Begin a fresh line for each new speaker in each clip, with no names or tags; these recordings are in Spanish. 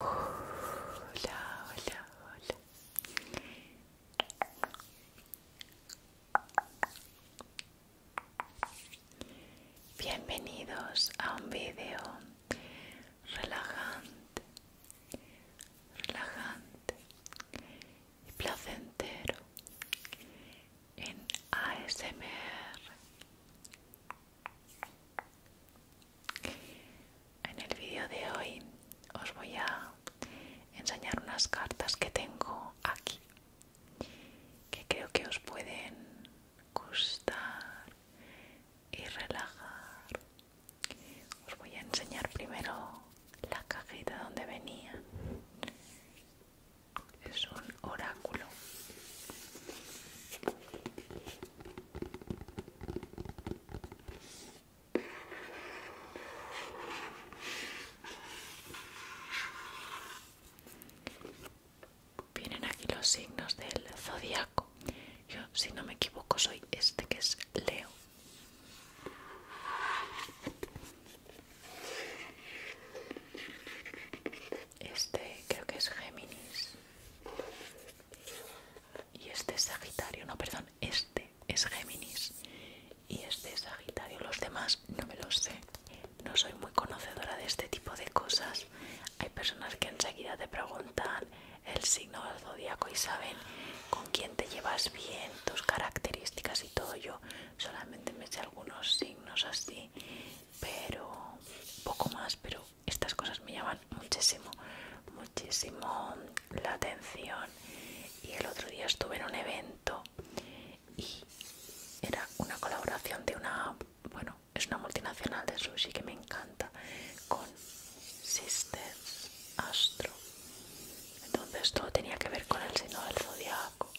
Hola, hola, Bienvenidos a un video relajante, relajante y placentero en ASMR. En el vídeo de hoy os voy a enseñar unas cartas que tengo aquí que creo que os pueden gustar y relajar. Os voy a enseñar primero la cajita donde venía. Es un oráculo. Vienen aquí los signos del zodiaco. Yo, si no me equivoco, soy este que es Leo. Este creo que es Géminis y este es Sagitario, no, perdón, este es Géminis y este es Sagitario. Los demás no me lo sé, no soy muy conocedora de este tipo de cosas. Hay personas que enseguida te preguntan el signo del zodiaco y saben con quién te llevas bien, tus características y todo. Yo solamente me sé algunos signos así, pero poco más, pero estas cosas me llaman muchísimo, muchísimo la atención. Y el otro día estuve en un evento y era una colaboración de una, bueno, es una multinacional de sushi que me encanta, con Sister Astro. Entonces todo tenía que ver con el signo del zodiaco.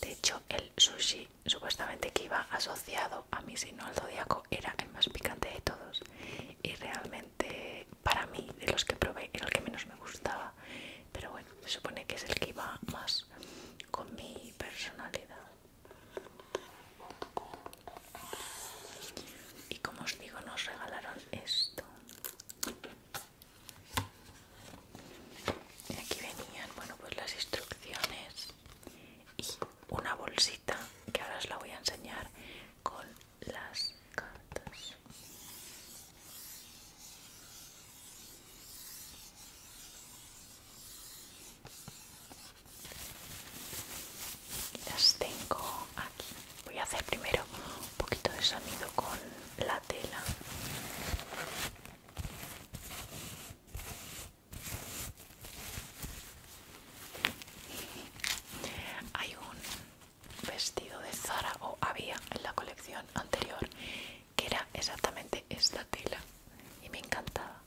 De hecho, el sushi supuestamente que iba asociado a mi signo al zodiaco era el más picante de todos y realmente para mí de los que probé era el que menos me gustaba pero bueno se supone que es el que iba más con mi personalidad y como os digo nos regalaron esto y aquí venían bueno pues las instrucciones y una bolsita que ahora os la voy a enseñar con las cartas. Las tengo aquí. Voy a hacer primero un poquito de sonido con la tela. Hay un vestido de Zara o había en la colección anterior que era exactamente esta tela y me encantaba.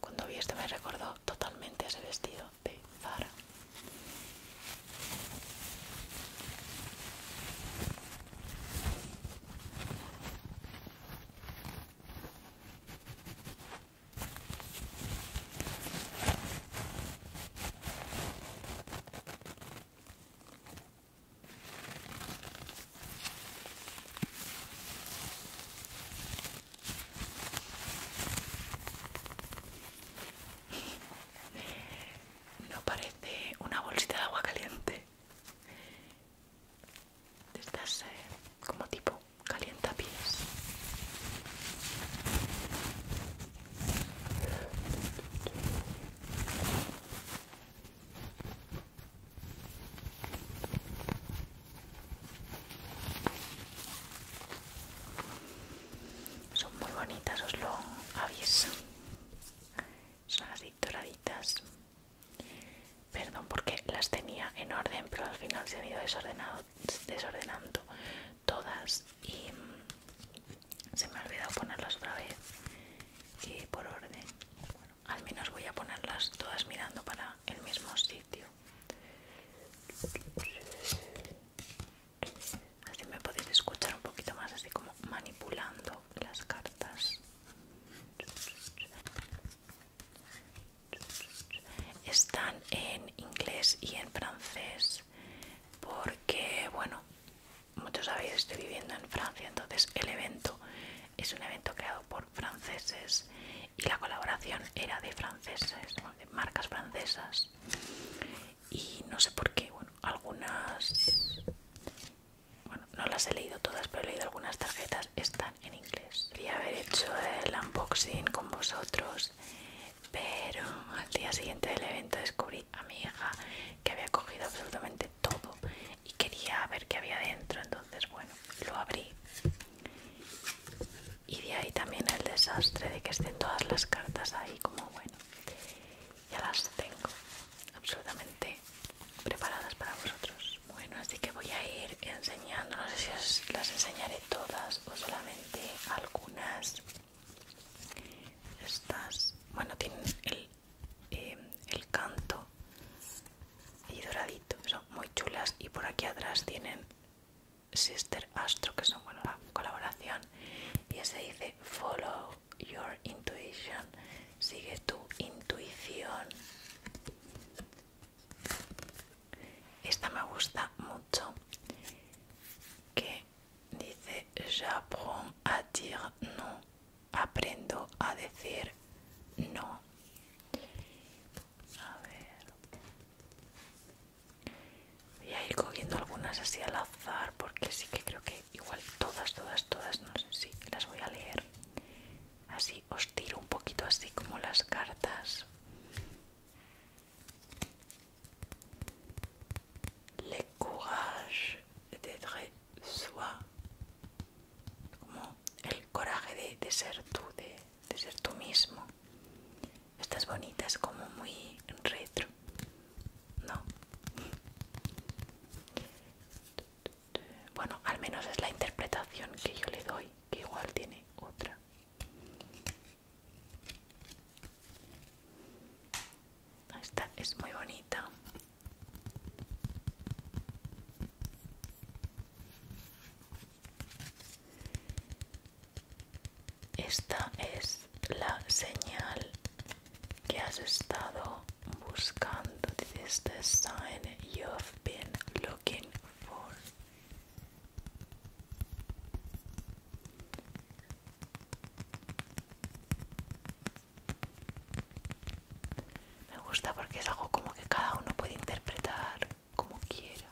Cuando vi esto me recordó totalmente ese vestido de Zara. No parece una bolsita de agua caliente estas eh, como tipo calienta pies son muy bonitas os lo aviso son así doraditas Perdón porque las tenía en orden, pero al final se han ido desordenando todas y mm, se me ha olvidado ponerlas otra vez y por orden. Bueno, al menos voy a ponerlas todas mirando para el mismo sitio. Así me podéis escuchar un poquito más, así como manipulando las cartas. Están en inglés y en francés porque, bueno, muchos sabéis, estoy viviendo en Francia, entonces el evento es un evento creado por franceses y la colaboración era de franceses, de marcas francesas. Y no sé por qué, bueno, algunas, bueno, no las he leído todas, pero he leído algunas tarjetas. están en inglés. Quería haber hecho el unboxing con vosotros, pero al día siguiente del evento descubrí a mi hija que había cogido absolutamente todo y quería ver qué había dentro, entonces bueno, lo abrí. Y de ahí también el desastre de que estén todas las cartas ahí como bueno. Ya las tengo absolutamente preparadas para vosotros. Bueno, así que voy a ir enseñando, no sé si las enseñaré todas o solamente algunas. Estas, bueno, tienen el, eh, el canto y doradito, son muy chulas y por aquí atrás tienen Sister Astro, que son bueno, la colaboración y se dice Follow Your Intuition, sigue tu intuición esta me gusta mucho. Que dice: J'apprends à dire no. Aprendo a decir no. A Voy a ir cogiendo algunas así al azar porque sí que creo que igual todas, todas, todas, no sé si las voy a leer así os tiro un poquito así como las cartas le courage d'être soi como el coraje de, ser tú de, ser tú mismo estas bonitas es como muy retro no bueno, al menos es la interpretación que yo le doy, que igual tiene otra. Esta es muy bonita. Esta es la señal que has estado buscando. This is the sign you've been looking me gusta porque es algo como que cada uno puede interpretar como quiera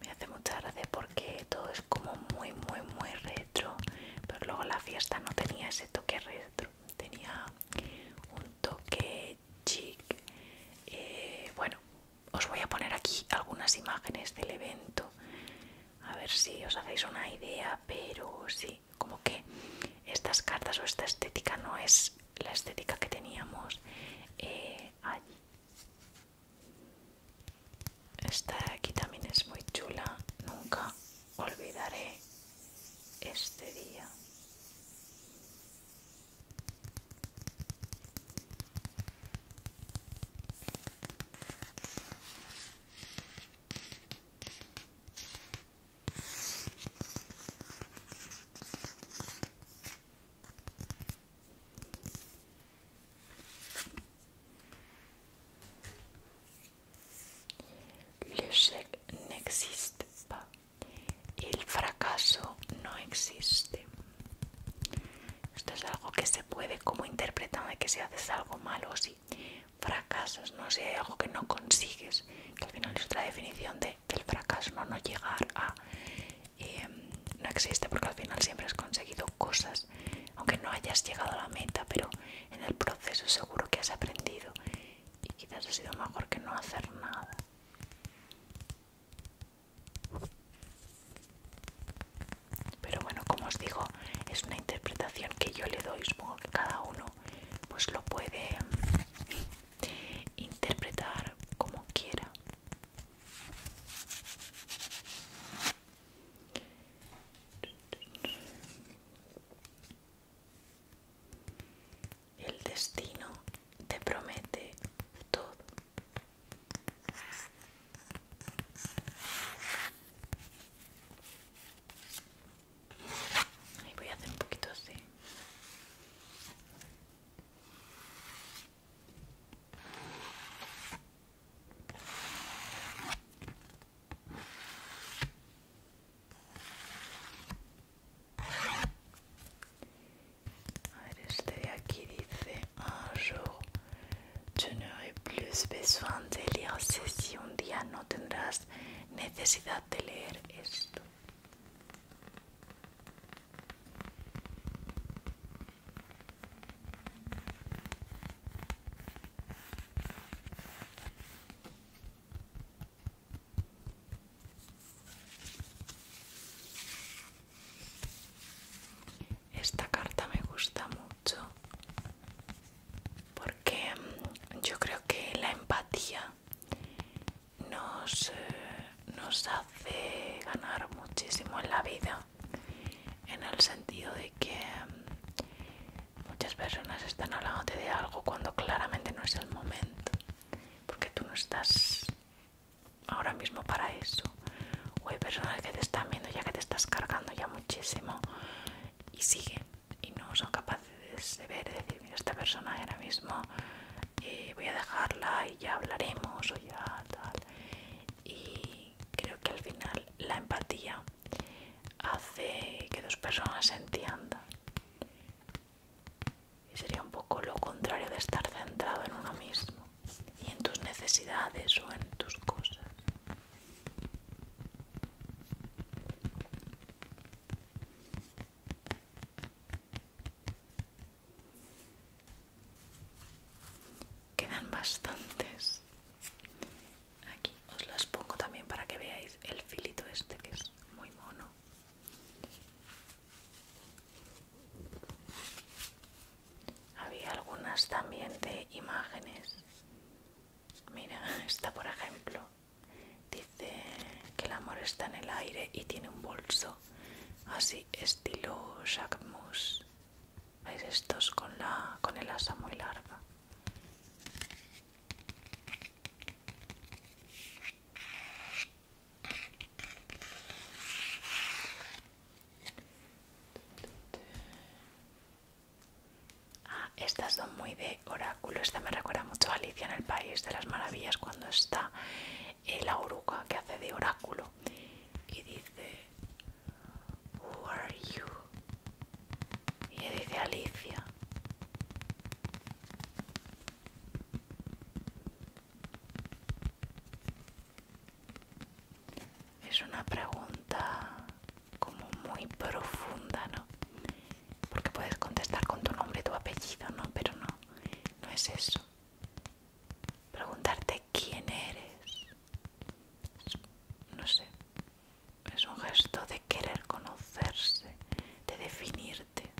me hace mucha gracia porque todo es como muy muy muy retro pero luego la fiesta no tenía ese toque retro tenía un toque chic eh, bueno os voy a poner aquí algunas imágenes del evento a ver si os hacéis una idea pero sí como que estas cartas o esta estética no es la estética que teníamos eh, allí. Esta de aquí también es muy chula, nunca olvidaré este día cheque n'existe existe. El fracaso no existe. Esto es algo que se puede como interpretar de que si haces algo malo, si fracasos, fracasas, no sé, algo que no consigues, que al final es otra definición de, del fracaso, no, llegar a... Eh, no existe porque al final siempre has conseguido cosas, aunque no hayas llegado a la meta, pero en el proceso seguro que has aprendido y quizás ha sido mejor que no hacer nada. Pero bueno, como os digo, es una interpretación que yo le doy, supongo que cada uno pues lo puede interpretar como quiera. El destino te promete todo voy a hacer un poquito así a ver este de aquí dice un jour je n'aurais plus besoin de lire si un día no tendrás necesidad de leer esto. Esta carta me gusta mucho porque yo creo que la empatía nos, eh, nos hace ganar muchísimo en la vida en el sentido de que muchas personas están hablando de algo cuando claramente no es el momento porque tú no estás ahora mismo para eso o hay personas que te están viendo ya que te estás cargando ya muchísimo y sigue y no son capaces de ver, de decir, mira, esta persona ahora mismo eh, voy a dejarla y ya hablaremos o ya tal. Y creo que al final la empatía hace que dos personas se entiendan. Y sería un poco lo contrario de estar centrado en uno mismo y en tus necesidades o en tus cosas. Quedan bastantes. Aquí os las pongo también para que veáis el filito este que es muy mono. Había algunas también de imágenes. Mira, esta por ejemplo. Dice que el amor está en el aire y tiene un bolso así estilo Jacques ¿Veis estos con, la, con el asa muy larga? Ah, estas son muy de oráculo. Esta me recuerda mucho a Alicia en el País de las Maravillas cuando está eh, la oruga que hace de oráculo y dice Who are you? Y dice Alicia. Es una pregunta como muy profunda, ¿no? Porque puedes contestar con tu nombre, tu apellido, ¿no? Pero no, no es eso. Preguntarte quién eres, no sé, es un gesto de querer conocerse, de definirte.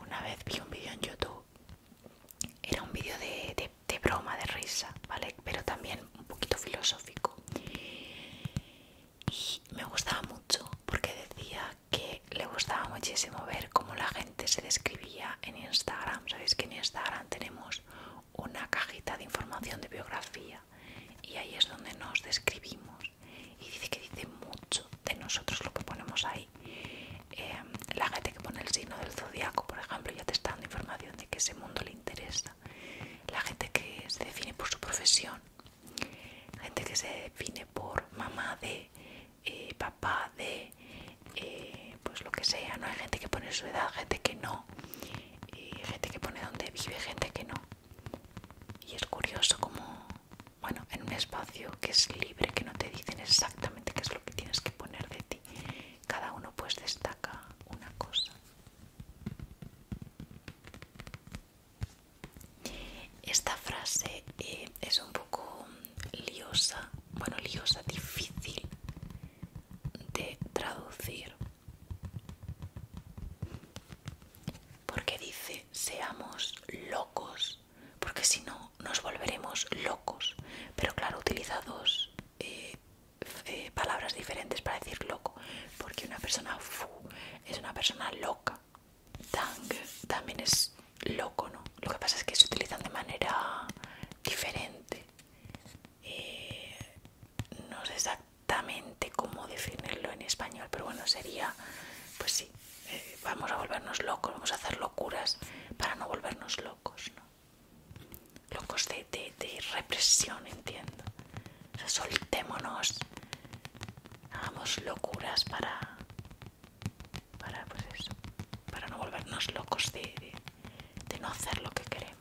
Una vez vi un vídeo en YouTube era un vídeo de, broma, de risa, ¿vale? Pero también un poquito filosófico. Y me gustaba mucho porque decía que le gustaba muchísimo ver cómo la gente se describía en Instagram. Sabéis que en Instagram tenemos una cajita de información de biografía y ahí es donde nos describimos. Y dice que dice mucho de nosotros lo que ponemos ahí. Eh, la gente que pone el signo del zodiaco, por ejemplo, ya te está dando información de que ese mundo le interesa. La gente que se define por su profesión, gente que se define por mamá de, eh, papá de, eh, pues lo que sea. No hay gente que pone su edad, gente que no, gente que pone dónde vive, gente que no. Y es curioso como, bueno, en un espacio que es libre, que no te dicen exactamente qué es lo que tienes que poner de ti cada uno pues destaca una cosa. Esta frase eh, es un poco liosa, bueno, liosa, difícil de traducir. Porque dice, seamos locos, porque si no, nos volveremos locos. Pero claro, utilizados eh, eh, palabras diferentes para decir loco, porque una persona fu es una persona loca. Tang también es loco, ¿no? Lo que pasa es que se utilizan de manera diferente. Eh, no sé exactamente cómo definirlo en español, pero bueno, sería, pues sí, eh, vamos a volvernos locos, vamos a hacer locuras para no volvernos locos, locos de, represión, entiendo. soltémonos, hagamos locuras para, para, pues eso, para no volvernos locos de, de no hacer lo que queremos.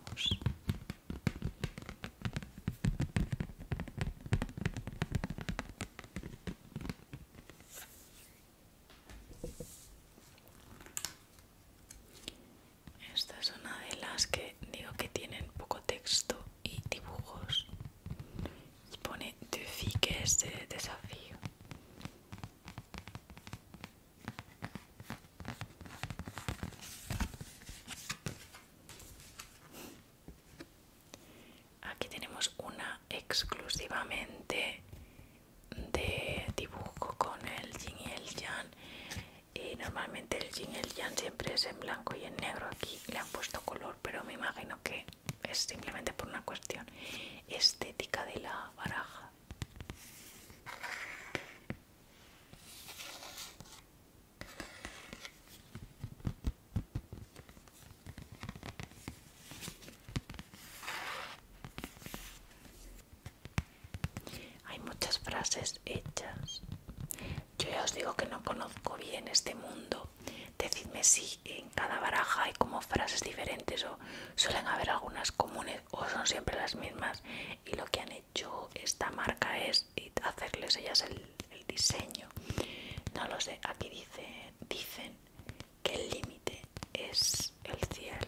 Esta es una de las que digo que tienen poco texto y dibujos. Y pone de de desafío. Aquí tenemos una exclusivamente de dibujo con el yin y el yang y normalmente el yin y el yang siempre es en blanco y en negro aquí le han puesto color pero me imagino que es simplemente por una cuestión estética de la baraja hay muchas frases hechas. Yo ya os digo que no conozco bien este mundo. Decidme si en cada baraja hay como frases diferentes o suelen haber algunas comunes o son siempre las mismas. Y lo que han hecho esta marca es hacerles ellas el, diseño. No lo sé, aquí dicen que el límite es el cielo.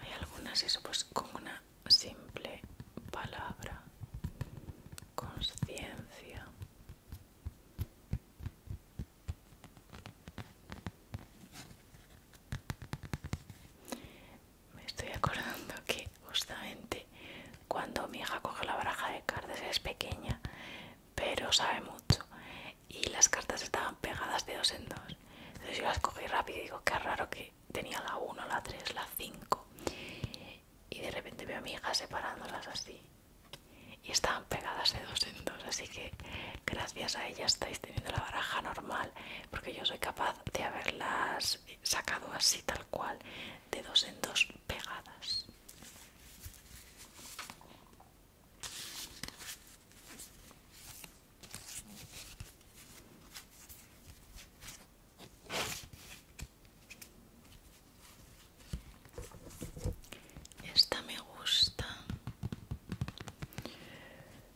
Hay algunas eso pues con una simple palabra, conciencia. Me estoy acordando que justamente cuando mi hija coge la baraja de cartas es pequeña, pero sabe mucho. Y las cartas estaban pegadas de dos en dos. Entonces yo las cogí rápido y digo, qué raro que tenía la 1, la 3, la 5. Y de repente veo a mi hija separándolas así. Y estaban pegadas de dos en dos. Así que gracias a ella estáis teniendo la baraja normal. Porque yo soy capaz de haberlas sacado así tal cual, de dos en dos pegadas. Esta me gusta.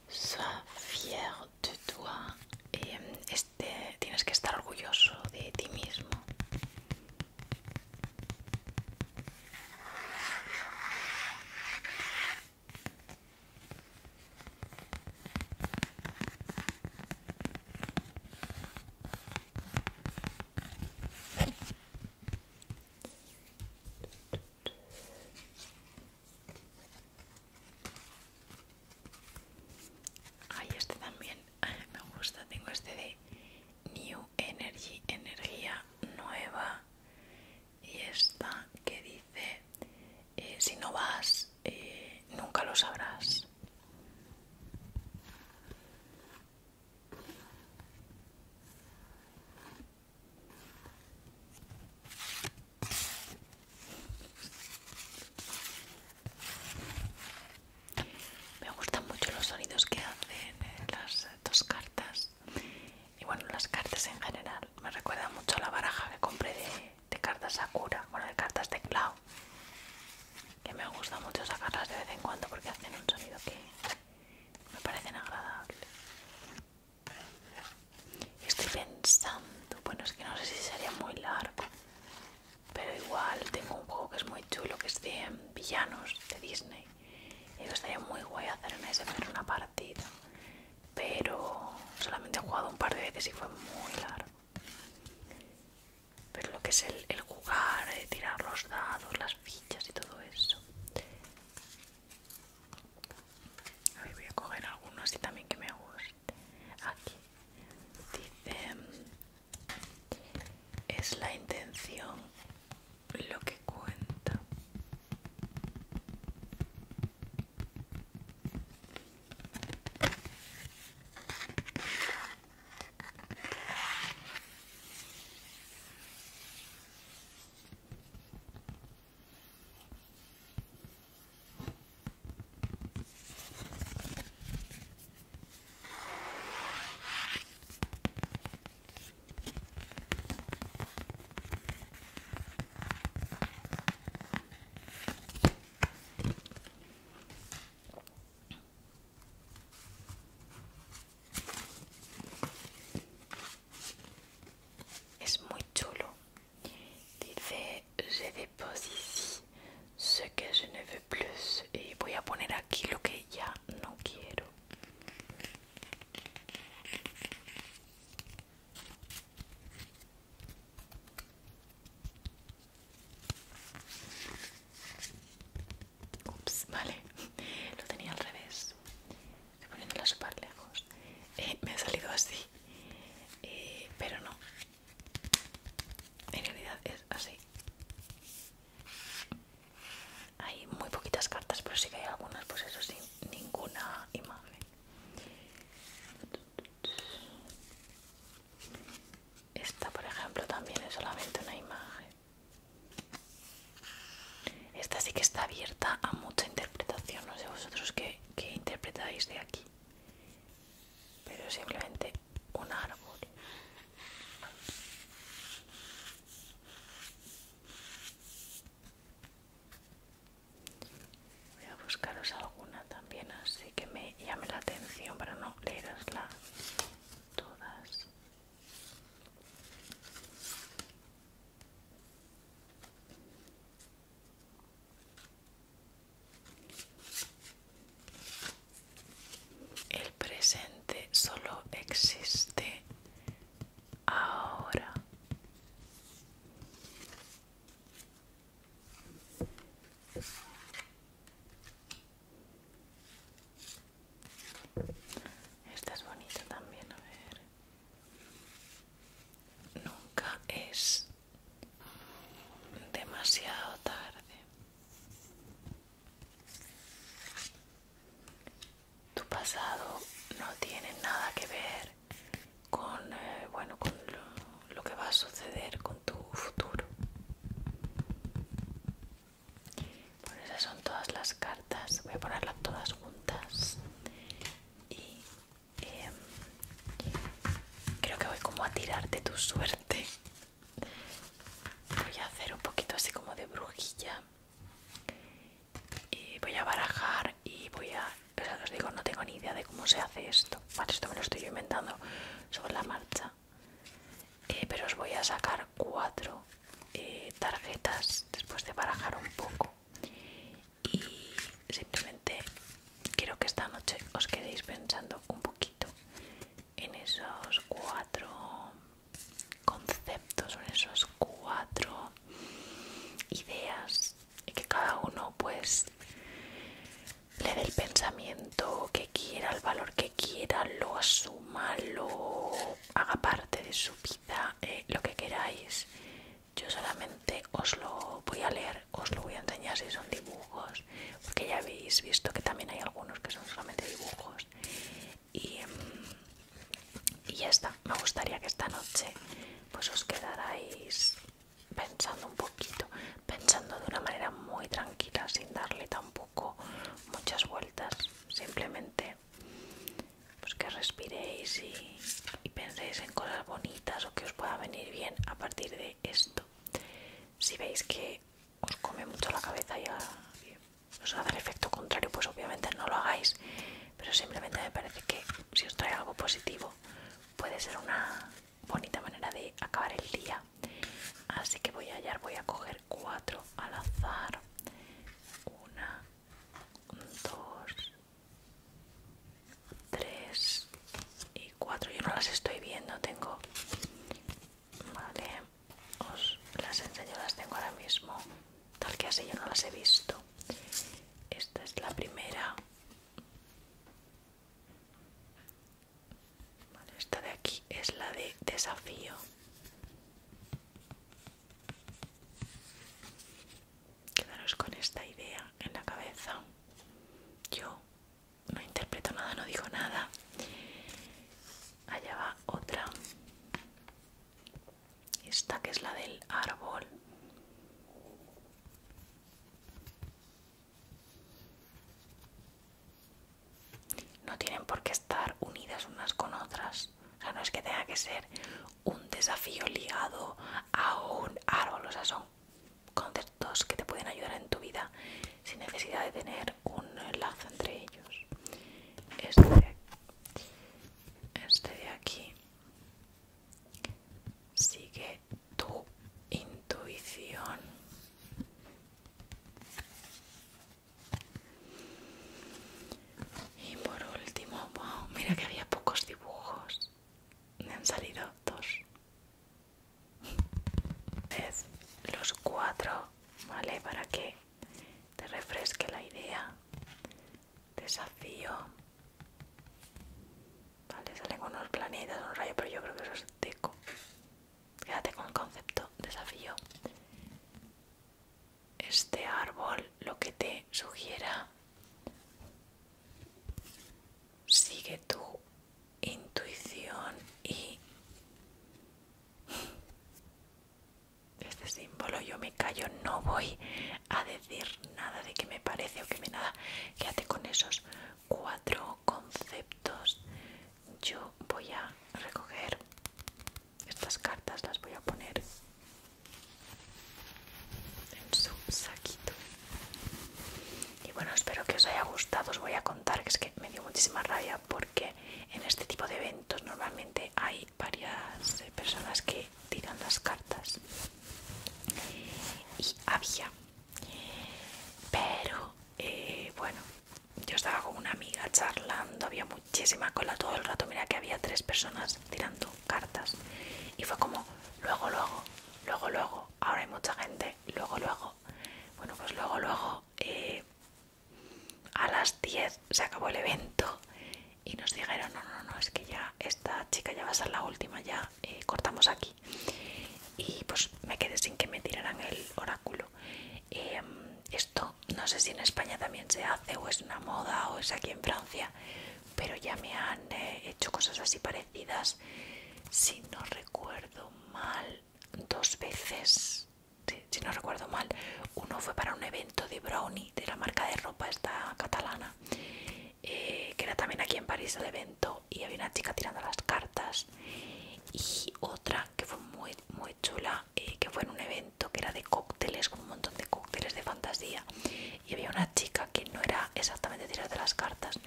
Sois fier de toi. Eh, este, tienes que estar orgulloso de ti mismo. Ay, este también me gusta, tengo este de New Energy, energía nueva y esta que dice eh, si no vas eh, nunca lo sabrás me gustan mucho los sonidos que hacen eh, las dos cartas. Y bueno, las cartas en general. Me recuerda mucho a la baraja que compré de, cartas Sakura, bueno, de cartas de Cloud Que me gusta mucho sacarlas de vez en cuando porque hacen un sonido que me parecen agradable. Estoy pensando, bueno, es que no sé si sería muy largo pero igual tengo un juego que es muy chulo que es de villanos de Disney y me estaría muy guay hacer en pero una partida pero solamente he jugado un par de veces y fue muy largo pero lo que es el, jugar, eh, tirar los dados, las fichas y todo eso voy a coger algunos y también que me guste aquí dice es la intención lo que cuenta. Es muy chulo. Dice, je dépose sé que es en F Plus y voy a poner aquí lo que ya no quiero Ups, vale, lo tenía al revés. Estoy poniéndola súper lejos. Eh, me ha salido así, eh, pero no. En realidad es así. Hay muy poquitas cartas, pero sí que hay algunas, pues eso sin ninguna imagen. Esta, por ejemplo, también es solamente una imagen. Esta sí que está abierta a mucha interpretación, no sé vosotros qué, qué interpretáis de aquí. Pero simplemente un árbol. Voy a buscaros alguna también así que me llame la atención para no leerosla todas. El presente solo existe ahora. Esta es bonita también, a ver. Nunca es demasiado tarde. Tu pasado no tiene nada que ver con, eh, lo, que va a suceder con tu futuro. esas son todas las cartas. Voy a ponerlas todas juntas. Y em, creo que voy como a tirarte tu suerte voy a hacer un poquito así como de brujilla y voy a barajar y voy a os digo no tengo ni idea de cómo se hace esto vale esto me lo estoy inventando sobre la marcha eh, pero os voy a sacar cuatro eh, tarjetas después de barajar un poco y simplemente quiero que esta noche os quedéis pensando un poquito en esos cuatro conceptos, son esos cuatro ideas y que cada uno pues le dé el pensamiento que quiera, el valor que quiera, lo asuma, lo haga parte de su vida, eh, lo que queráis. Yo solamente os lo voy a leer, os lo voy a enseñar si son dibujos, porque ya habéis visto que también hay algunos que son solamente dibujos y, y ya está. Me gustaría que esta noche pues, os quedarais pensando un poquito, pensando de una manera muy tranquila, sin darle tampoco muchas vueltas, simplemente pues, que respiréis y penséis en cosas bonitas o que os pueda venir bien a partir de esto. Si veis que os come mucho la cabeza y os hace el efecto contrario, pues obviamente no lo hagáis. Pero simplemente me parece que si os trae algo positivo, puede ser una bonita manera de acabar el día. Así que voy a hallar, voy a coger cuatro al azar. Una, dos, tres y cuatro. Yo no las estoy viendo, tengo vale os las enseño las tengo ahora mismo tal que así yo no las he visto esta es la primera esta de aquí es la de desafío quedaros con esta idea en la cabeza yo no interpreto nada, no digo nada allá va otra esta que es la del árbol no tienen por qué estar unidas unas con otras o sea no es que tenga que ser un desafío ligado a un árbol o sea son conceptos que te pueden ayudar en tu vida sin necesidad de tener un lazo entre ellos este de aquí, este de aquí sigue tu intuición y por último wow, mira que había pocos dibujos me han salido dos es los cuatro vale para que te refresque la idea. Desafío. Vale, salen unos planetas, unos rayos, pero yo creo que eso es teco. Quédate con el concepto desafío. Este árbol lo que te sugiera. Sigue tu intuición y este símbolo yo me callo, no voy a decir nada de que me parece o que me nada. Quédate con esos cuatro conceptos. Yo voy a recoger estas cartas, las voy a poner en su saquito. Y bueno, espero que os haya gustado. Os voy a contar que es que me dio muchísima rabia por porque en este tipo de eventos normalmente hay varias eh, personas que tiran las cartas y había pero eh, bueno yo estaba con una amiga charlando había muchísima cola todo el rato mira que había tres personas tirando cartas y fue como luego luego luego luego ahora hay mucha gente luego luego bueno pues luego luego eh, a las 10 se acabó el evento y nos dijeron no, no, no, es que ya esta chica ya va a ser la última, ya eh, cortamos aquí. Y pues me quedé sin que me tiraran el oráculo. Em, esto no sé si en España también se hace o es una moda o es aquí en Francia, pero ya me han eh, hecho cosas así parecidas. Si no recuerdo mal, dos veces si, no recuerdo mal, uno fue para un evento de Brownie, de la marca de ropa esta catalana, eh, que era también aquí en París el evento, y había una chica tirando las cartas, y otra que fue muy, muy chula, eh, que fue en un evento que era de cócteles, con un montón de cócteles de fantasía, y había una chica que no era exactamente tirar de las cartas,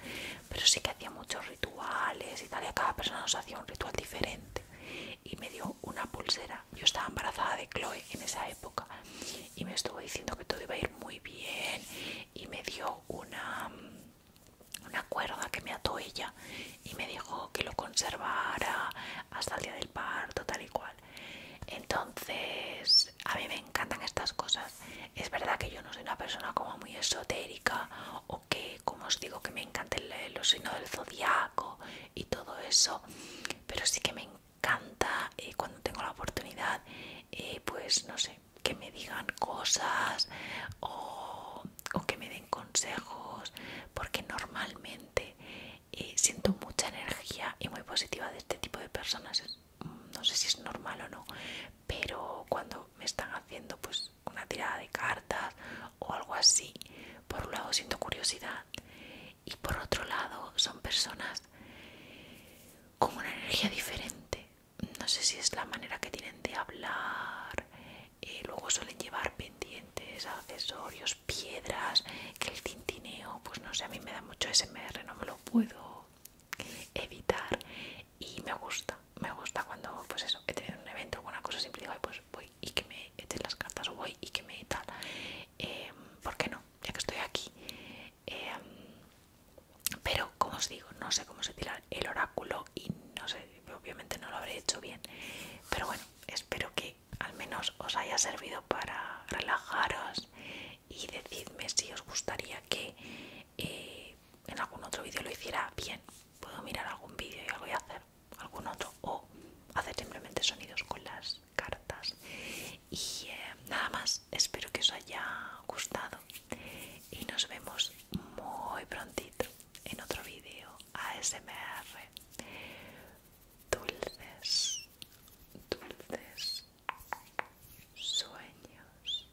pero sí que hacía muchos rituales y tal, y cada persona nos hacía un ritual diferente y me dio una pulsera. Yo estaba embarazada de Chloe en esa época y me estuvo diciendo que todo iba a ir muy bien y me dio una, una cuerda que me ató ella y me dijo que lo conservara hasta el día del parto, tal y cual. Entonces, a mí me encantan estas cosas. Es verdad que yo no soy una persona como muy esotérica que, como os digo, que me encanta el, los signos del zodiaco y todo eso, pero sí que me encanta eh, cuando tengo la oportunidad, eh, pues no sé, que me digan cosas o, que me den consejos, porque normalmente eh, siento mucha energía y muy positiva de este tipo de personas. no sé si es normal o no, pero cuando me están haciendo pues una tirada de cartas o algo así. Por un lado siento curiosidad y por otro lado son personas con una energía diferente. No sé si es la manera que tienen de hablar. Eh, luego suelen llevar pendientes, accesorios, piedras, que el tintineo, pues no sé, a mí me da mucho SMR, no me lo puedo evitar y me gusta, me gusta cuando pues eso, he tenido un evento o alguna cosa simple digo, pues voy y que me echen las cartas voy y que me tal. porque em, ¿Por qué no? Ya que estoy aquí. Em, pero, como os digo, no sé cómo se tira el oráculo y no sé, obviamente no lo habré hecho bien. Pero bueno, espero que al menos os haya servido para relajaros y decidme si os gustaría que eh, en algún otro vídeo lo hiciera bien. Puedo mirar algún vídeo y algo a hacer algún otro o hacer simplemente sonidos con las cartas y eh, nada más espero que os haya gustado y nos vemos muy prontito en otro vídeo ASMR dulces dulces sueños